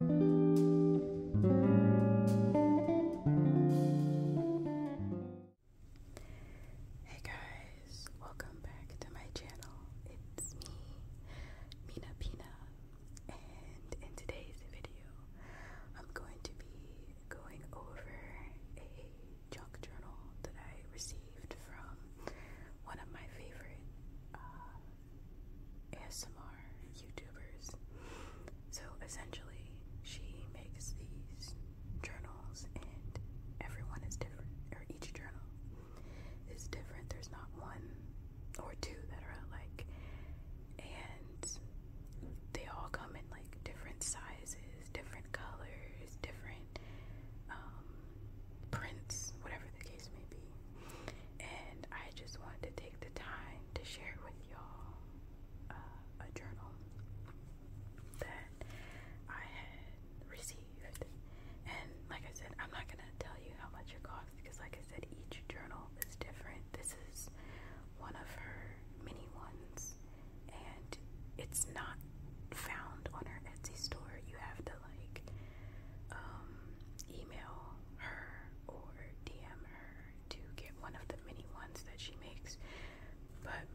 Hey guys, welcome back to my channel. It's me, Mina Pina, and in today's video, I'm going to be going over a junk journal that I received from one of my favorite uh, ASMR YouTubers. So essentially, she makes these journals, and everyone is different, or each journal is different. There's not one or two that are alike, and they all come in like different sizes, different colors, different um, prints, whatever the case may be. And I just wanted to the time to share with y'all uh, a journal that I had received. And like I said, I'm not gonna tell you how much it costs because, like I said, each journal is different. This is one of her mini ones, and it's not found on her Etsy store. You have to like um, email her or DM her to get one of the mini ones that she makes. But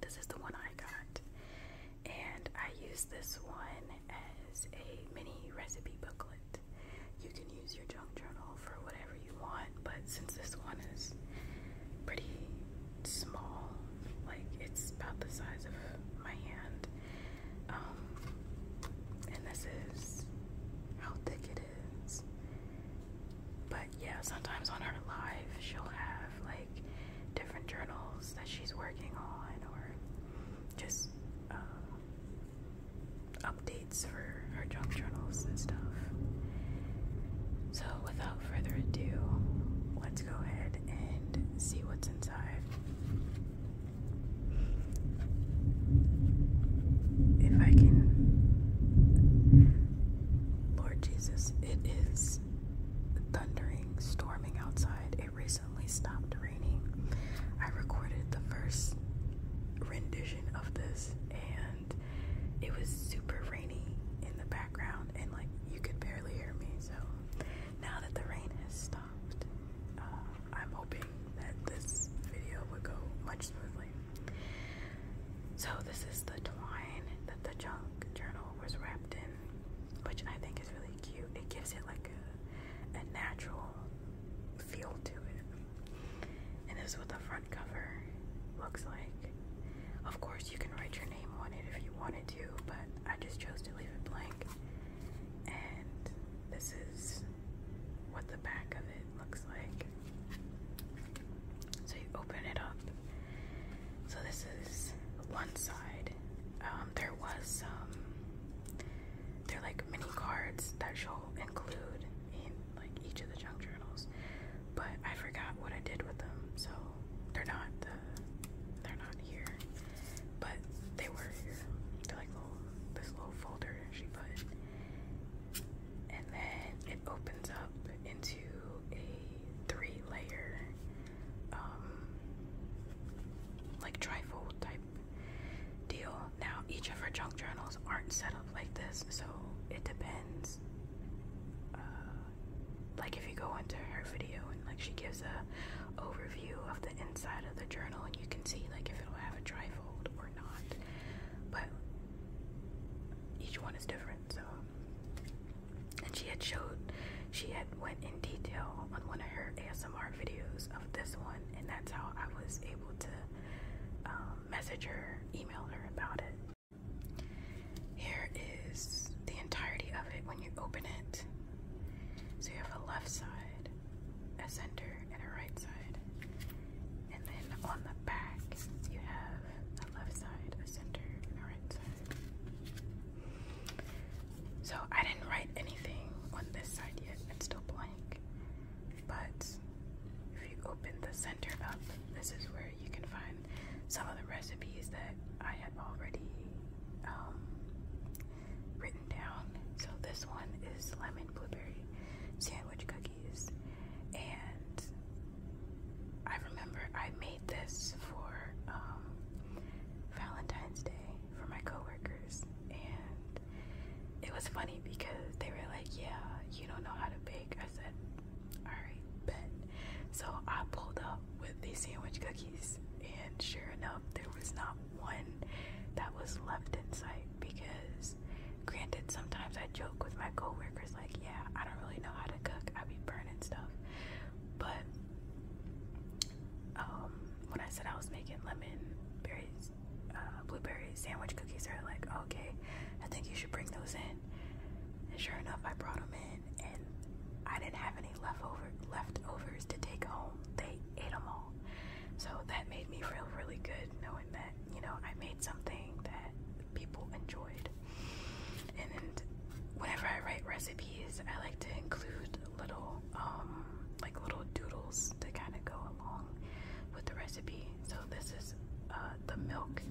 this is the one I got, and I use this one as a mini recipe booklet. You can use your junk journal for whatever you want, but since this one is pretty small, like it's about the size of my hand, um, and this is how thick it is. But yeah, sometimes on her live, she'll have like different journals that she's working on or just um, updates for her junk journals and stuff. So, without further ado, let's go ahead and see what's inside. If I can. Lord Jesus, it is thundering, storming outside. It recently stopped raining. I recorded the first rendition of this and it was super rainy in the background and like you could barely hear me. So now that the rain has stopped, uh, I'm hoping that this video would go much smoothly. So this is the twine that the junk journal was wrapped in, which I think is really cute. It gives it like a, a natural feel to it. And this is what the front cover looks like. Of course, you can write your name on it if you wanted to, but I just chose to leave it blank. And this is what the back of it looks like. So you open it up. So this is one side. Um, there was some. Um, they're like mini cards that she'll include in like each of the junk journals, but I forgot what I did with them, so they're not. the. Uh, they're not here. But they were They're like oh, this little folder she put. And then it opens up into a three layer, um, like trifold type deal. Now, each of her junk journals aren't set up like this, so it depends. Uh, like if you go into her video and like she gives a overview of the inside of the journal and you can see like if it'll have a trifold or not. But each one is different, so and she had showed she had went in detail on one of her ASMR videos of this one and that's how I was able to um, message her, email her about it. Here is the entirety of it when you open it. So you have a left side, a center, and a right side. And then on the back, you have a left side, a center, and a right side. So I didn't write anything on this side yet, it's still blank. But if you open the center up, this is where you can find some of the recipes that I have already um, written down. So this one is lemon blueberry sandwich cookies. And I remember I made this for um, Valentine's Day for my coworkers. And it was funny because they were like, Yeah, you don't know how to bake. I said, Alright, bet. So I pulled up with these sandwich cookies. And sure enough, there was not one that was left in sight because granted sometimes I joke with my coworkers like yeah I don't really know how to cook I be burning stuff but um, when I said I was making lemon berries uh, blueberry sandwich cookies they're like okay I think you should bring those in and sure enough I brought them in and I didn't have any leftover leftovers to take home. They ate them all. So that made me feel really good knowing that, you know, I made something that people enjoyed. And whenever I write recipes, I like to include little um like little doodles to kind of go along with the recipe. So this is uh, the milk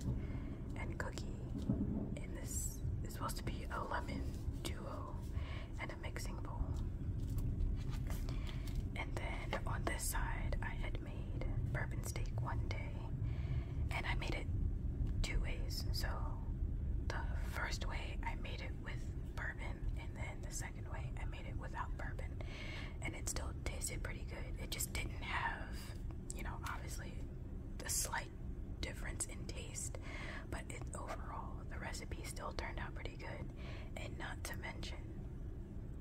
and cookie, and this is supposed to be a lemon duo and a mixing bowl. And then on this side, I had made bourbon steak one day, and I made it two ways. So the first way, I made it with bourbon, and then the second way, I made it without bourbon, and it still tasted pretty good. It just didn't have, you know, obviously the slight difference in taste, but it overall the recipe still turned out pretty good. And not to mention,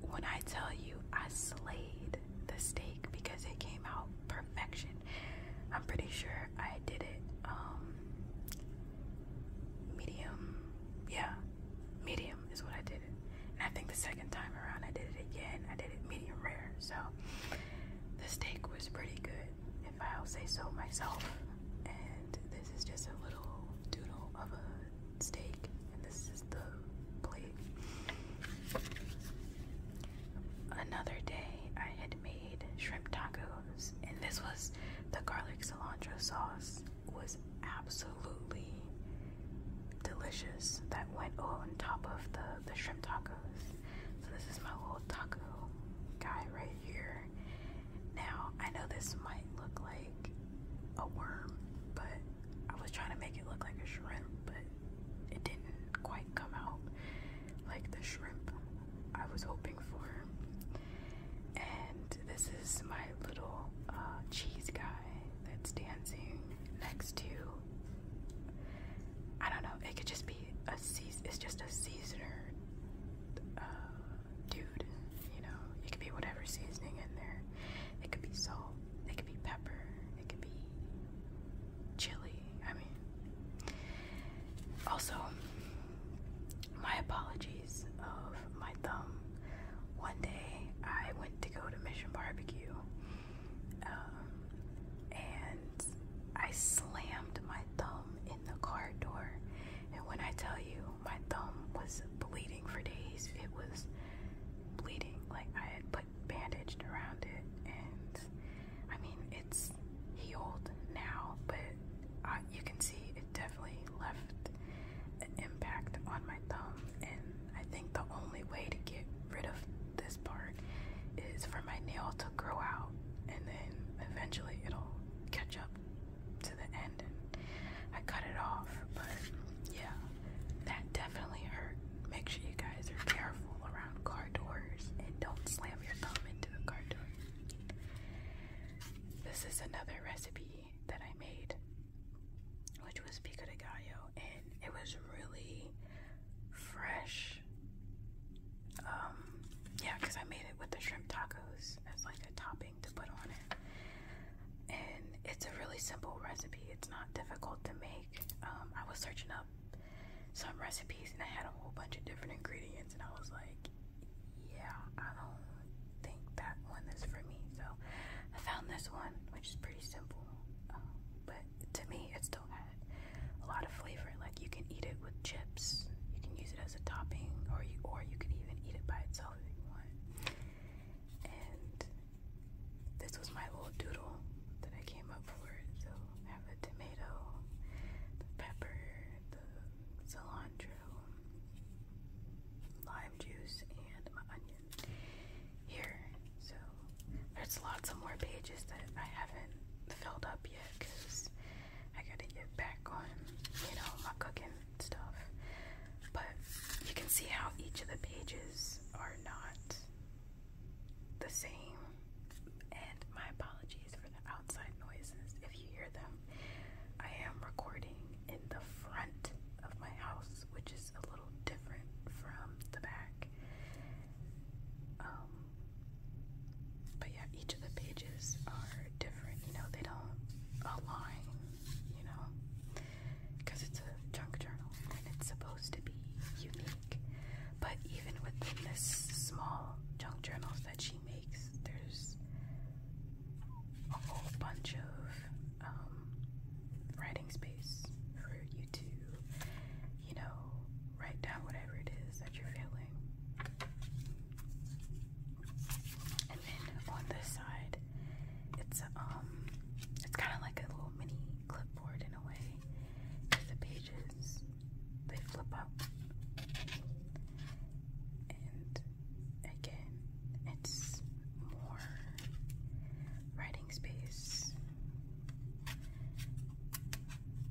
when I tell you I slayed the steak because it came out perfection, I'm pretty sure I did it um, medium. Yeah, medium is what I did it. And I think the second time around I did it again, I did it medium rare. So the steak was pretty good if I'll say so myself. And this is just a little doodle of a steak, and this is the plate. Another day, I had made shrimp tacos, and this was the garlic cilantro sauce was absolutely delicious. That went on top of the the shrimp tacos. So this is my little taco guy right here. Now, I know this might look like a worm, but I was trying to make it look like a shrimp, but it didn't quite come out like the shrimp I was hoping for. And this is my little uh, cheese guy that's dancing next to. I don't know, it could just be a season, it's just a seasoner uh, dude. You know, it could be whatever seasoning in there. It could be salt. It could be pepper. It could be chili. I mean, also, my apologies of my thumb. One day I went to go to Mission Barbecue, um, and I slammed my thumb the car door. And when I tell you, my thumb was bleeding for days. It was bleeding. Like I had put bandaged around it. And I mean, it's healed now, but you can see it definitely left an impact on my thumb. And I think the only way to get rid of this part is for my nail to grow out and then eventually it'll catch up to the end. And I cut it off, but yeah, that definitely hurt. Make sure you guys are careful around car doors and don't slam your thumb into the car door. This is another recipe that I made, which was pico de gallo, and it was really fresh um, yeah, because I made it with the shrimp tacos as like a topping to put on it. And it's a really simple recipe. It's not difficult to make. Um, I was searching up some recipes and I had a whole bunch of different ingredients and I was like, yeah, I don't think that one is for me. So I found this one, which is pretty simple. Um, but to me, it's still a lot of flavor. Like you can eat it with chips, you can use it as a topping, or you or you can even eat it by itself if you want. And this was my little doodle that I came up for. So have the tomato, the pepper, the cilantro, lime juice, and my onion here. So there's lots of more pages that I haven't filled up yet because I gotta get back on, you know, my cooking stuff. But you can see how each of the pages are not the same. And my apologies for the outside noises if you hear them. I am recording in the front of my house, which is a little different from the back. Um, but yeah, each of the pages are different, you know, they don't align, you know, because it's a junk journal and it's supposed to be unique. But even within this small junk journals that she makes, there's a whole bunch of um, writing space for you to you know, write down whatever it is that you're feeling. And then on this side, it's um, it's kind of like a little mini clipboard in a way. the pages, they flip up, and again, it's more writing space.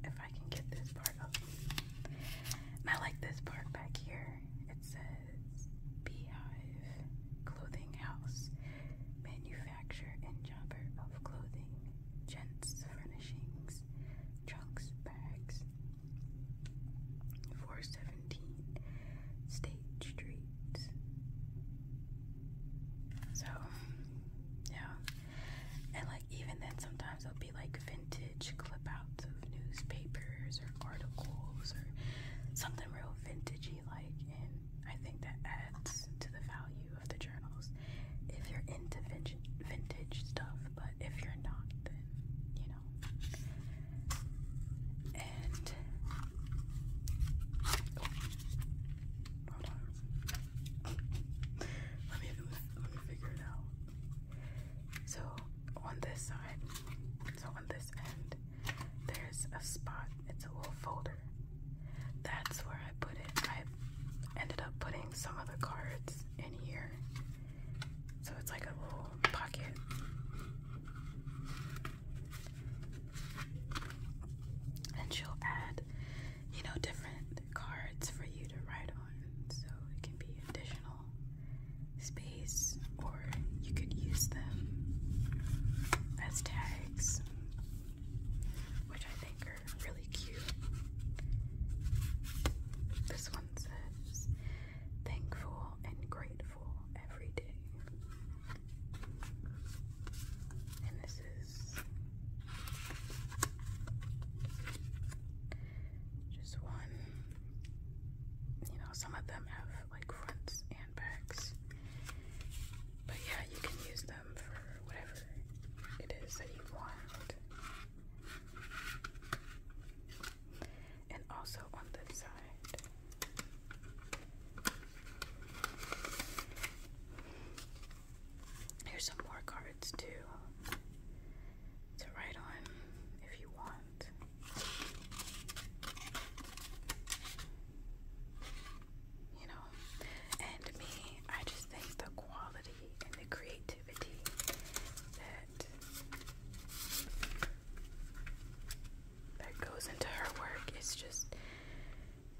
If I can get this part part up. And I like this part back here. It says Beehive Clothing House, manufacturer and jobber of clothing, gents, furnishings, trunks, bags. 417 State Street. So, yeah, and like even then sometimes there'll be like vintage clip outs of newspapers or articles or something real vintagey like and I think that adds to the value of the journals if you're into vintage stuff, but if you're not then you know. And oh, let me let me figure it out. So on this side, so on this end, there's a spot. It's a little folder. That's where I put it. I ended up putting some of cards in here. So it's like a little pocket. And she'll add you know, different cards for you to write on. So it can be additional space, or you could use them as tags, which I think are really cute. This one says, thankful and grateful every day. And this just one. You know, some of them have like fronts and backs. But yeah, you can use them for whatever it is that you want. And also on this side. Here's some more cards too to write on if you want. You know, and me, I just think the quality and the creativity that that goes into her work is just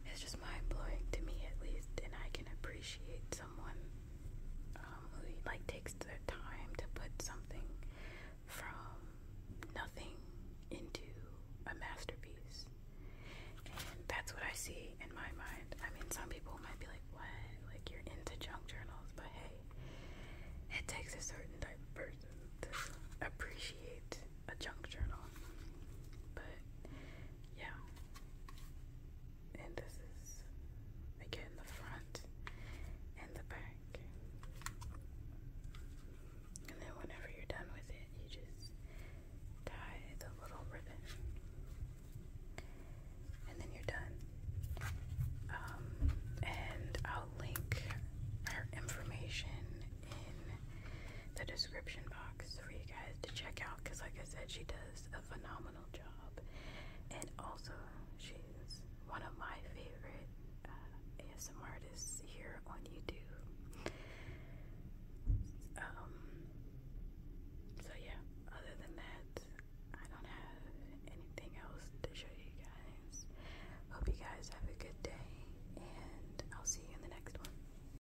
it's just mind blowing to me at least, and I can appreciate someone um, who like takes their time to put something from nothing into a masterpiece. And that's what I see in my mind. I mean, some people might be like, "What? Like you're into junk journals?" But hey, it takes a certain type of person to appreciate a junk journal. But yeah. And this is again the front and the back. And then whenever you're done with it, you just tie the little ribbon. And then you're done. Um, and I'll link her information in the description box for you guys to check out because, like I said, she does a phenomenal job, and also she's one of my favorite uh, ASMR artists here on YouTube. Um, so yeah, other than that, I don't have anything else to show you guys. Hope you guys have a good day, and I'll see you in the next one.